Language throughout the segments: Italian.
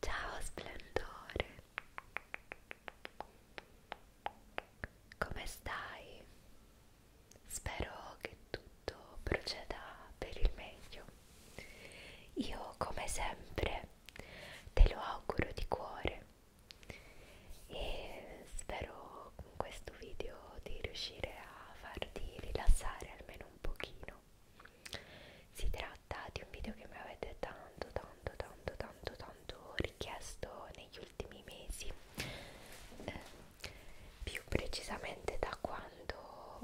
Ciao splendore, come stai? Spero che tutto proceda per il meglio. Io come sempre te lo auguro di cuore e spero con questo video di riuscire a farti rilassare almeno un pochino si tratta di un video che mi avete tanto tanto tanto tanto tanto richiesto negli ultimi mesi eh, più precisamente da quando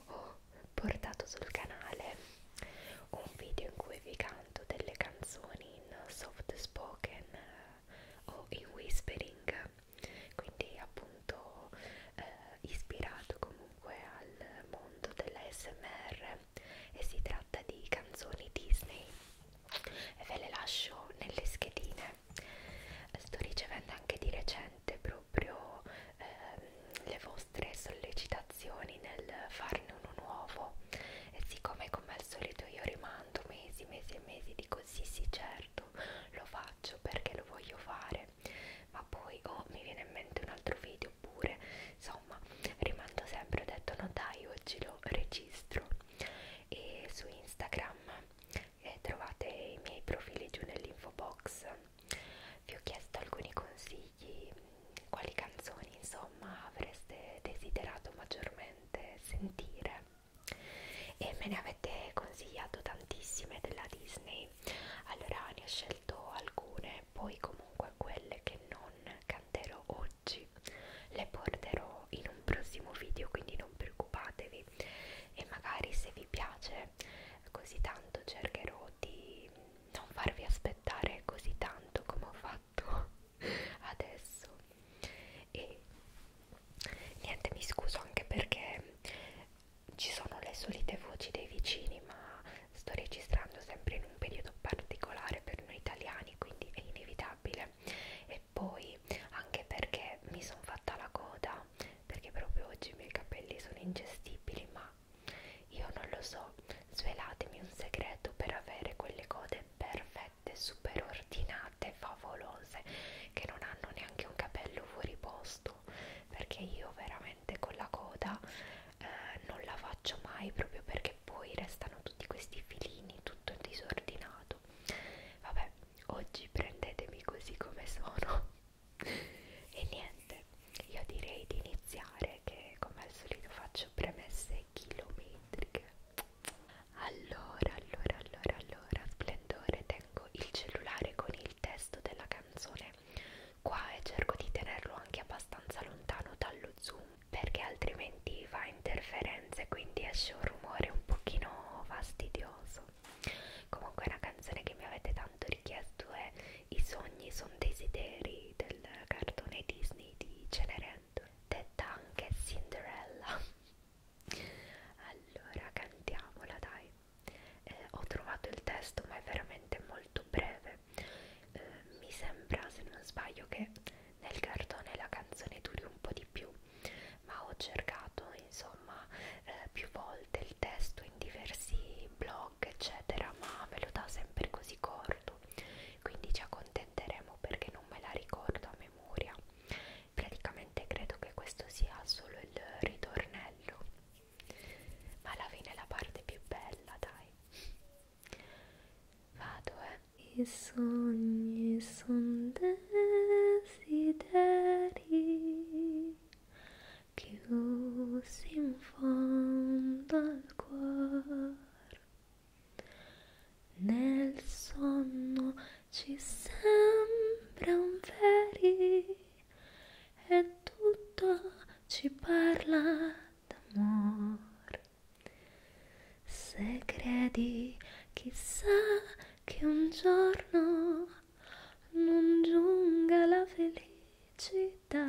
ho portato sul canale un video in cui vi canto delle canzoni in soft spoken o in whispering quindi appunto eh, ispirato comunque al mondo dell'ASMR e si tratta di canzoni Disney e ve le lascio nelle schedine sto ricevendo anche di recente proprio ehm, le vostre sollecitazioni nel farne uno nuovo e siccome come al solito io rimango tanto mesi, mesi e mesi dico sì sì certo lo faccio perché lo voglio fare ma poi o oh, mi viene in mente un altro video oppure insomma rimando sempre ho detto no dai oggi lo registro e su Instagram eh, trovate i miei profili giù nell'info box vi ho chiesto alcuni consigli quali canzoni insomma avreste desiderato maggiormente veramente sentire e me ne avete consigliato tantissime della Disney allora ne ho scelto alcune poi comunque quelle che non canterò oggi le porterò in un prossimo video quindi non preoccupatevi e magari se vi piace così tanto cercherò di non farvi aspettare così tanto come ho fatto fatto adesso e niente mi scuso anche perché ci sono le solite voci dei vicini ma sto registrando sempre in un periodo particolare per noi italiani quindi è inevitabile e poi anche perché mi sono fatta la coda perché proprio oggi i miei capelli sono ingestibili ma io non lo so svelatemi un segreto per avere quelle code perfette perfette, super ordinate, favolose, che non hanno neanche un capello fuori posto, perché io veramente con la coda eh, non la faccio mai proprio perché poi restano tutti questi filini tutto disordinato. Vabbè, oggi prendetemi così come sono. e niente, io direi di iniziare che come al solito faccio premesse sei chilometriche allora allora allora allora splendore tengo il cellulare con il testo della canzone qua e cerco di tenerlo anche abbastanza lontano dallo zoom perché altrimenti fa interferenze quindi esce un rumore un pochino fastidioso comunque una canzone che mi avete tanto richiesto è i sogni sono desideri del cartone Disney di Cenerentola detta anche Cinderella allora cantiamola dai eh, ho trovato il testo ma è veramente molto breve eh, mi sembra se non sbaglio che nel cartone la canzone duri un po' di più ma ho cercato insomma eh, più volte il testo in diversi blog eccetera ma me lo dà sempre così corto quindi ci accontentiamo tenteremo perché non me la ricordo a memoria praticamente credo che questo sia solo il ritornello ma alla fine è la parte più bella dai vado eh i sogni son desideri chiusi in fondo al cuore nel sonno ci sembra un veri e tutto ci parla d'amore. Se credi, chissà che un giorno non giunga la felicità.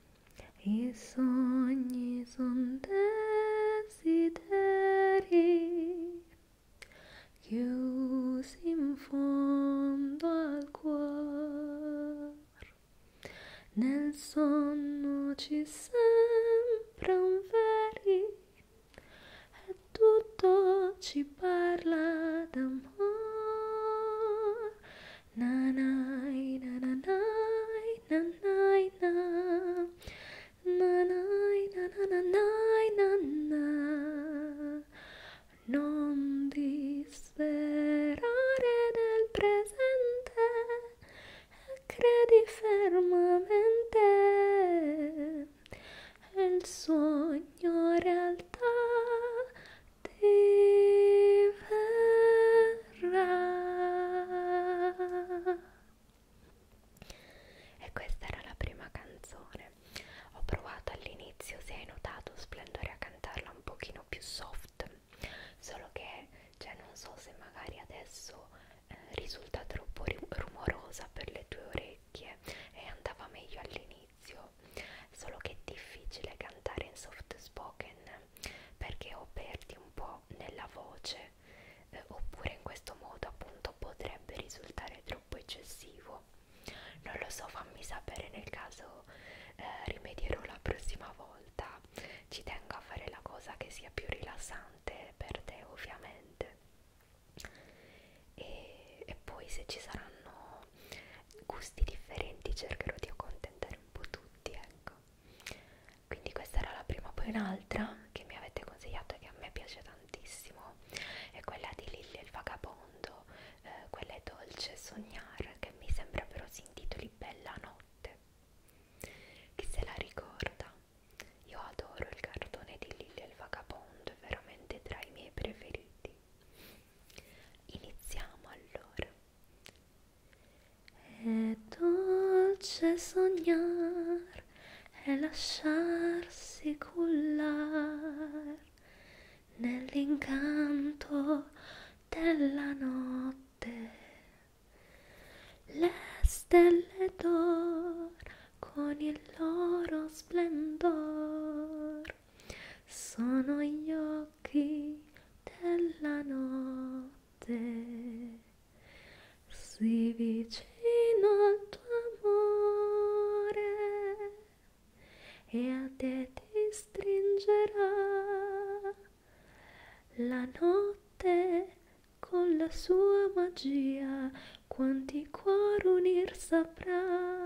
I sogni son desideri chiusi in fondo al cuore. Nel sonno ci sembra un veri e tutto ci parla d'amore na nai na na nai na nai na na nai na na nai na na non disperare nel presente e credi fermamente il sogno realtà diventa verrà. E questa era la prima canzone. Ho provato all'inizio, se hai notato, splendore a cantarla un pochino più soft, solo che cioè, non so se magari adesso eh, risulta troppo rumorosa per le tue orecchie e andava meglio all'inizio, solo che è difficile cantare in soft spoken perché o perdi un po' nella voce eh, oppure in questo modo appunto potrebbe risultare troppo eccessivo non lo so fammi sapere nel caso eh, rimedierò la prossima volta ci tengo a fare la cosa che sia più rilassante per te ovviamente e, e poi se ci saranno gusti differenti cercherò di accontentare un po' tutti ecco quindi questa era la prima poi un'altra che mi avete consigliato e che a me piace tantissimo è quella di Lilli e il vagabondo eh, quella è dolce sognar che mi sembra però si intitoli Bella notte chi se la ricorda io adoro il cartone di Lilli e il vagabondo è veramente tra i miei preferiti iniziamo allora è dolce sognar, è lasciarsi cullar nell'incanto della notte. Le stelle d'or con il loro splendor sono io occhi della notte si vicino al tuo amore e a te ti stringerà la notte con la sua magia quanti cuori unir saprà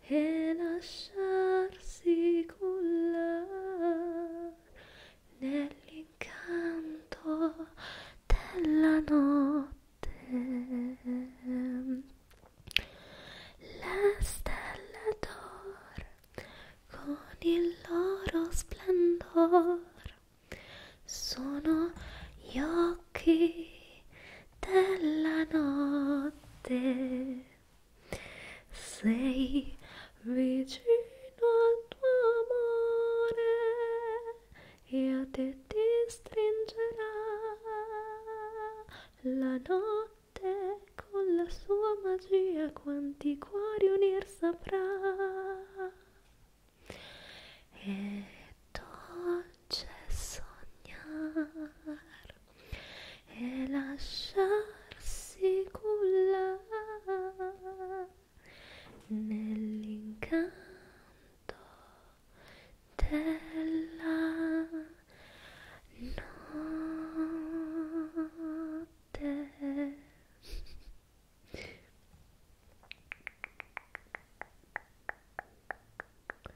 e lasciarsi cullare nell'incanto della notte. Le stelle d'oro con il loro splendor sono gli occhi della notte sei vicino al tuo amore e a te ti stringerà la notte con la sua magia quanti cuori unir saprà e dolce sognare e lasciarsi cullare nell'incanto della notte.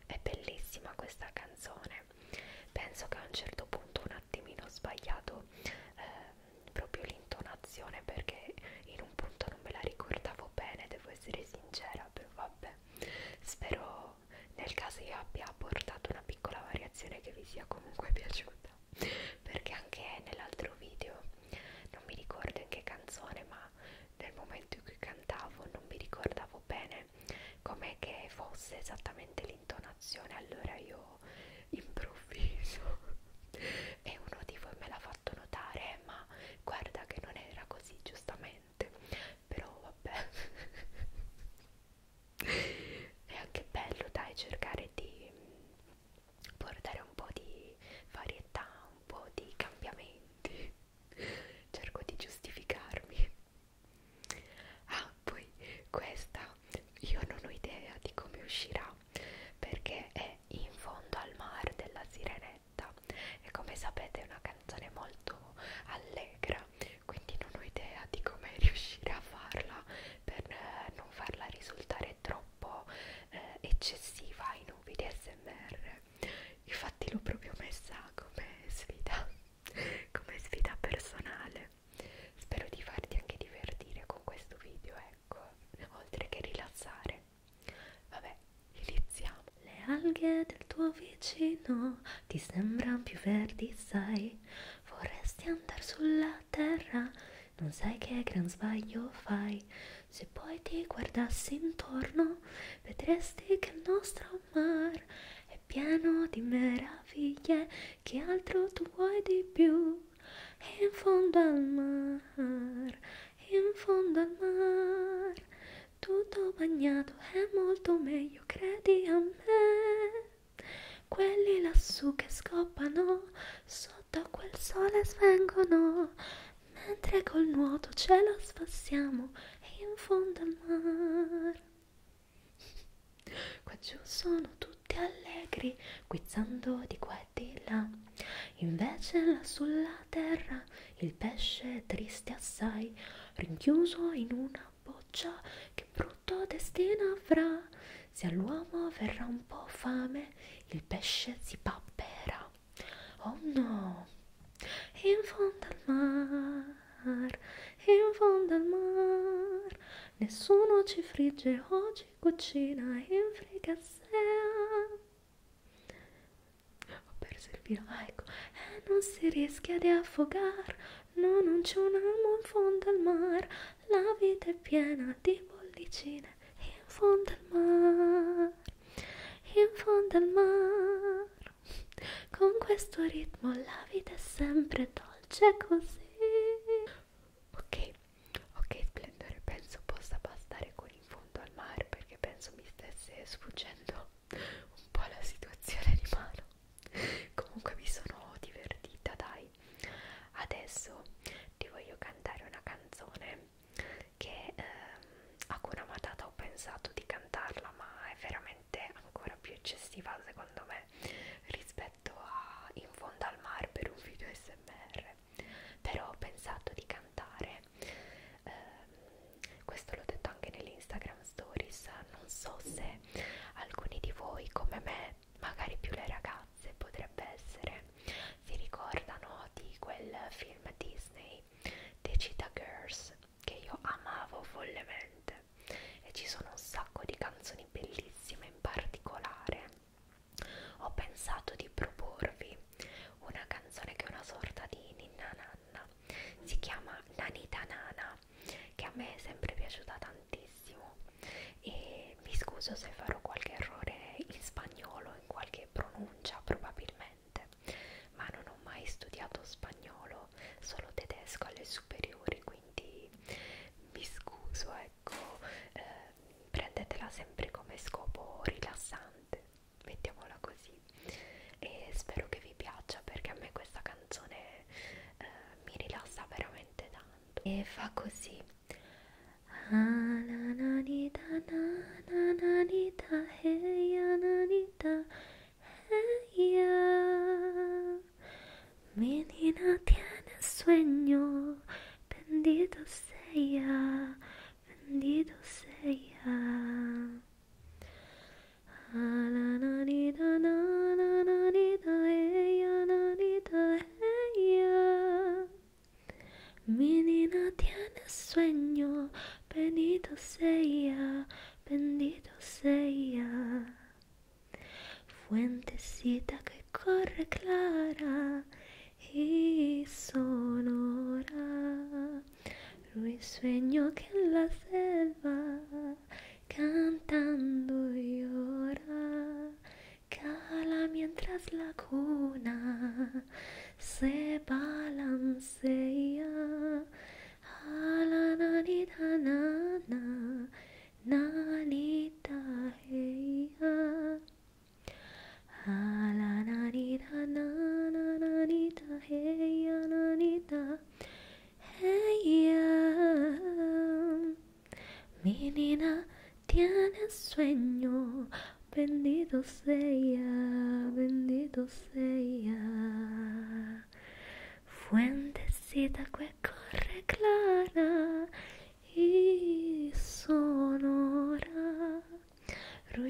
È bellissima questa canzone penso che a un certo punto un attimino ho sbagliato eh, proprio l'intonazione perché in un punto non me la ricordavo bene, devo essere sincera, però vabbè, spero nel caso io abbia apportato una piccola variazione che vi sia comunque piaciuta perché anche nell'altro video non mi ricordo in che canzone ma nel momento in cui cantavo non mi ricordavo bene com'è che fosse esattamente l'intonazione allora io improvviso e uno di voi me l'ha fatto notare eh, ma guarda che non era così giustamente però vabbè è anche bello dai cercare di portare un po' di varietà un po' di cambiamenti cerco di giustificarmi ah poi questa io non ho idea di come uscirà perché è in fondo al mare della sirenetta e come sapete è una canzone molto allegra quindi non ho idea di come riuscire a farla per eh, non farla risultare troppo eh, eccessiva in un video smr infatti l'ho proprio messa come sfida come sfida personale spero di farti anche divertire con questo video ecco oltre che rilassare vabbè iniziamo le alghe del tuo vicino ti sembrano più verdi sai vorresti andare sulla terra non sai che gran sbaglio fai se poi ti guardassi intorno vedresti che il nostro mar è pieno di meraviglie che altro tu vuoi di più in fondo al mar in fondo al mar tutto bagnato è molto meglio credi a me quelli lassù che scoppano sotto a quel sole svengono mentre col nuoto ce lo sfassiamo in fondo al mar Qua giù sono tutti allegri, guizzando di qua e di là. Invece là sulla terra il pesce è triste assai, rinchiuso in una boccia che brutto destino avrà. Se all'uomo verrà un po' fame, il pesce si papperà. Oh no! in fondo al mar, in fondo al mar, nessuno ci frigge o ci cucina in fricassea. Ho perso il filo, ah, ecco, e non si rischia di affogare, no, non c'è un amo in fondo al mar, la vita è piena di bollicine in fondo al mar, in fondo al mar. Con questo ritmo la vita è sempre dolce così. Ok, ok, splendore, penso possa bastare con in fondo al mare perché penso mi stesse sfuggendo un po' la situazione di mano. Comunque mi sono divertita, dai. Adesso ti voglio cantare una canzone che ehm, Hakuna Matata ho pensato di cantarla ma è veramente ancora più eccessiva secondo me rispetto a In fondo al mare per un video smr però ho pensato di cantare eh, questo l'ho detto anche nelle Instagram stories non so se alcuni di voi come me magari più le ragazze potrebbe essere si ricordano di quel film Disney Decida Girls che io amavo follemente e ci sono un sacco di canzoni bellissime in particolare ho pensato di proporvi una canzone che è una sorta di ninna nanna si chiama Nanita Nana che a me è sempre piaciuta tantissimo e mi scuso se farò qualche errore in spagnolo in qualche pronuncia probabilmente niente, ma non ho mai studiato spagnolo, solo tedesco alle superiori, quindi mi scuso, ecco, eh, prendetela sempre come scopo rilassante, mettiamola così, e spero che vi piaccia perché a me questa canzone eh, mi rilassa veramente tanto e fa così ella, mi nina tiene sueño, bendito sea, bendito sea, ah, nanita, nanita, nanita, ella, nanita, ella, mi nina tiene sueño. Bendito sea, bendito sea. Fuentecita que corre clara y sonora. sueño que en la selva cantando llora. Cala mientras la cuna se balancea. A la nanita nana, nanita nanita, A la nanita nana, nanita ya nanita nanita, Mi nina tiene sueño bendito sea, bendito sea. Fuentecita que corre clara y sonora,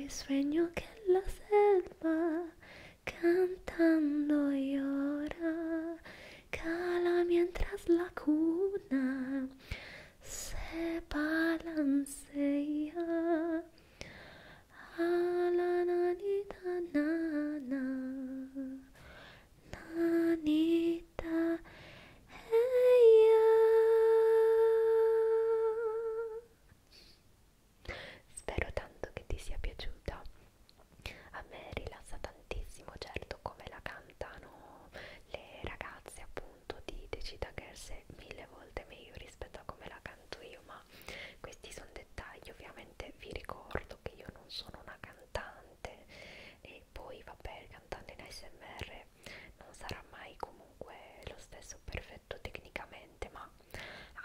sueño que la selva cantando llora, cala mientras la cuna se balancea. alla nanita nana nanita eia spero tanto che ti sia piaciuta a me rilassa tantissimo certo come la cantano le ragazze appunto appunto di Decida Girls è mille volte meglio rispetto a come la canto io ma questi sono dettagli ovviamente vi ricordo che io non sono una cantante e poi vabbè cantando in ASMR non sarà mai comunque lo stesso perfetto tecnicamente ma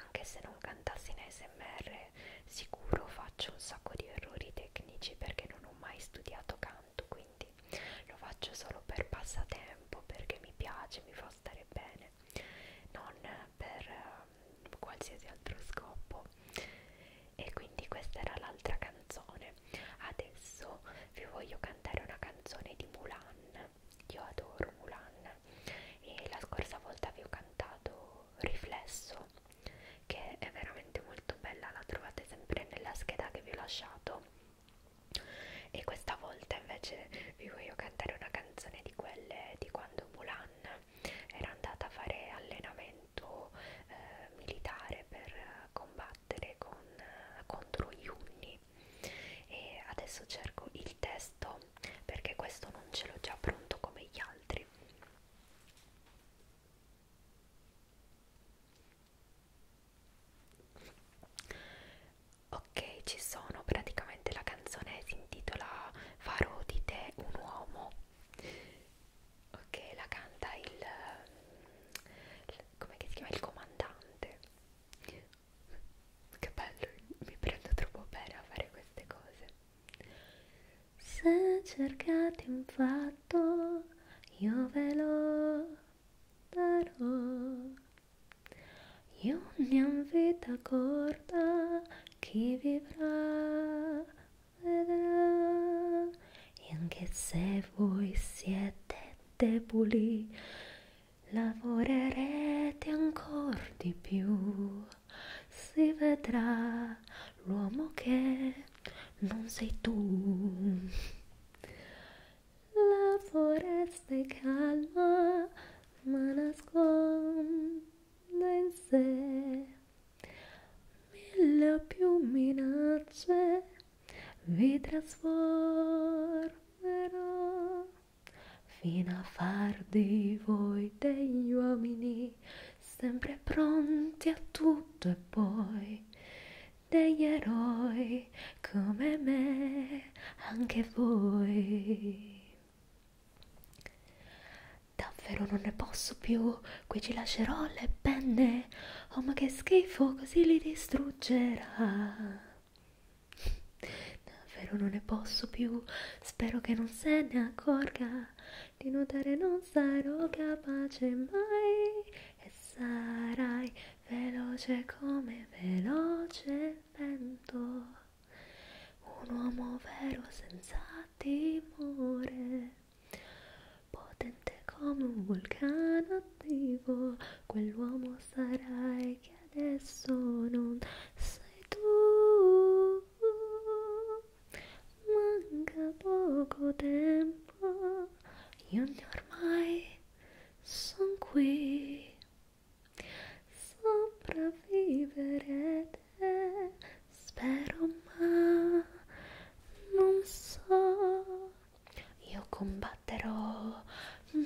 anche se non cantassi in ASMR sicuro faccio un sacco di errori tecnici perché non ho mai studiato canto quindi quindi lo faccio solo per passatempo perché mi piace, mi fa stare bene, non per eh, qualsiasi altro scopo. E quindi questa era l'altra canzone. Adesso vi voglio cantare una canzone di Mulan. Io adoro Mulan e la scorsa volta vi ho cantato Riflesso che è veramente molto bella, la trovate sempre nella scheda che vi ho lasciato e questa volta invece vi voglio cantare una canzone di quelle di quando Mulan era andata a fare allenamento eh, militare per combattere con, contro gli unni e adesso cerco il testo perché questo non ce l'ho già pronto come gli altri ok ci sono praticamente la canzone si intitola farò di te un uomo ok la canta il, il come si chiama il comandante che bello mi prendo troppo bene a fare queste cose se cercate un fatto io ve lo darò. E ogni vita corta chi vivrà vedrà. E anche se voi siete deboli, lavorerete ancora di più. Si vedrà l'uomo che non sei tu. La foresta è calma, ma nasconde in sé mille o più minacce. Vi trasformerò fino a far di voi degli uomini sempre pronti a tutto e poi degli eroi come me, anche voi. Davvero non ne posso più, qui ci lascerò le penne. Oh ma che schifo, così li distruggerà. Davvero non ne posso più, spero che non se ne accorga. Di nuotare non sarò capace mai e sarai veloce come veloce il vento, un uomo vero senza timore, potente come un vulcano attivo, quell'uomo sarai che adesso non sei tu, manca poco tempo io ormai sono qui. Sopravvivere te, spero ma non so. Io combatterò,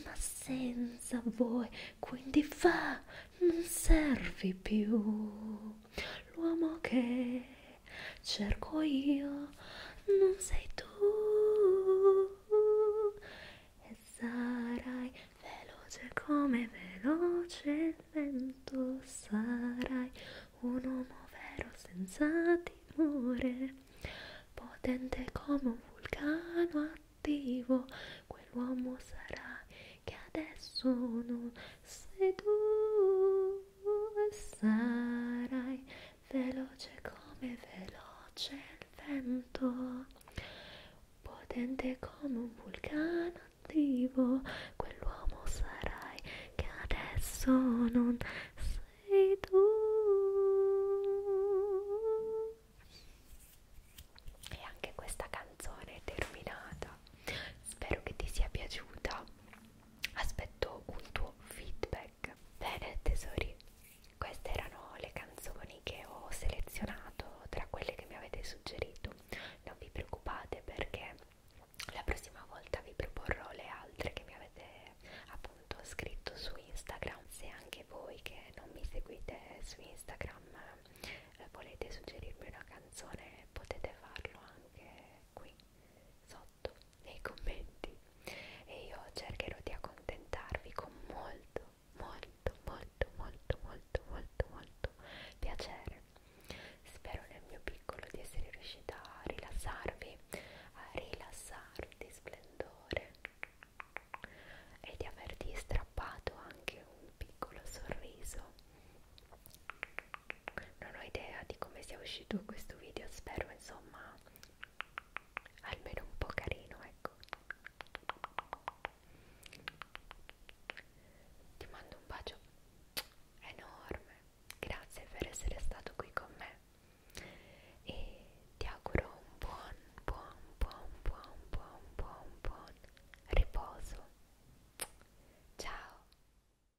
ma senza voi, quindi fa, non servi più l'uomo che cerco io, non sei tu e sarai veloce come veloce il vento, sarai un uomo vero senza timore, potente come un vulcano attivo, quell'uomo sarai che adesso non sei tu e sarai veloce come veloce il vento, potente come un vulcano attivo, quell'uomo sarai che adesso non sei tu. E anche questa canzone è terminata. Spero che ti sia piaciuta. Aspetto un tuo feedback feedback. Ecco, bene tesori, queste erano le canzoni che ho selezionato tra quelle che mi avete suggerito. Non vi preoccupate perché la prossima volta vi proporrò le altre che mi avete appunto scritto su Instagram. Se anche voi che non mi seguite su Instagram eh, volete suggerirmi una canzone potete farlo anche qui sotto nei commenti e io cercherò di accontentarvi con molto molto molto molto molto molto molto piacere spero nel mio piccolo di essere riuscita a rilassarvi a rilassarti splendore e di averti strappato anche un piccolo sorriso non ho idea di come sia uscito questo video spero insomma almeno un po' carino ecco ti mando un bacio enorme grazie per essere stato qui con me e ti auguro un buon buon buon buon buon buon buon riposo ciao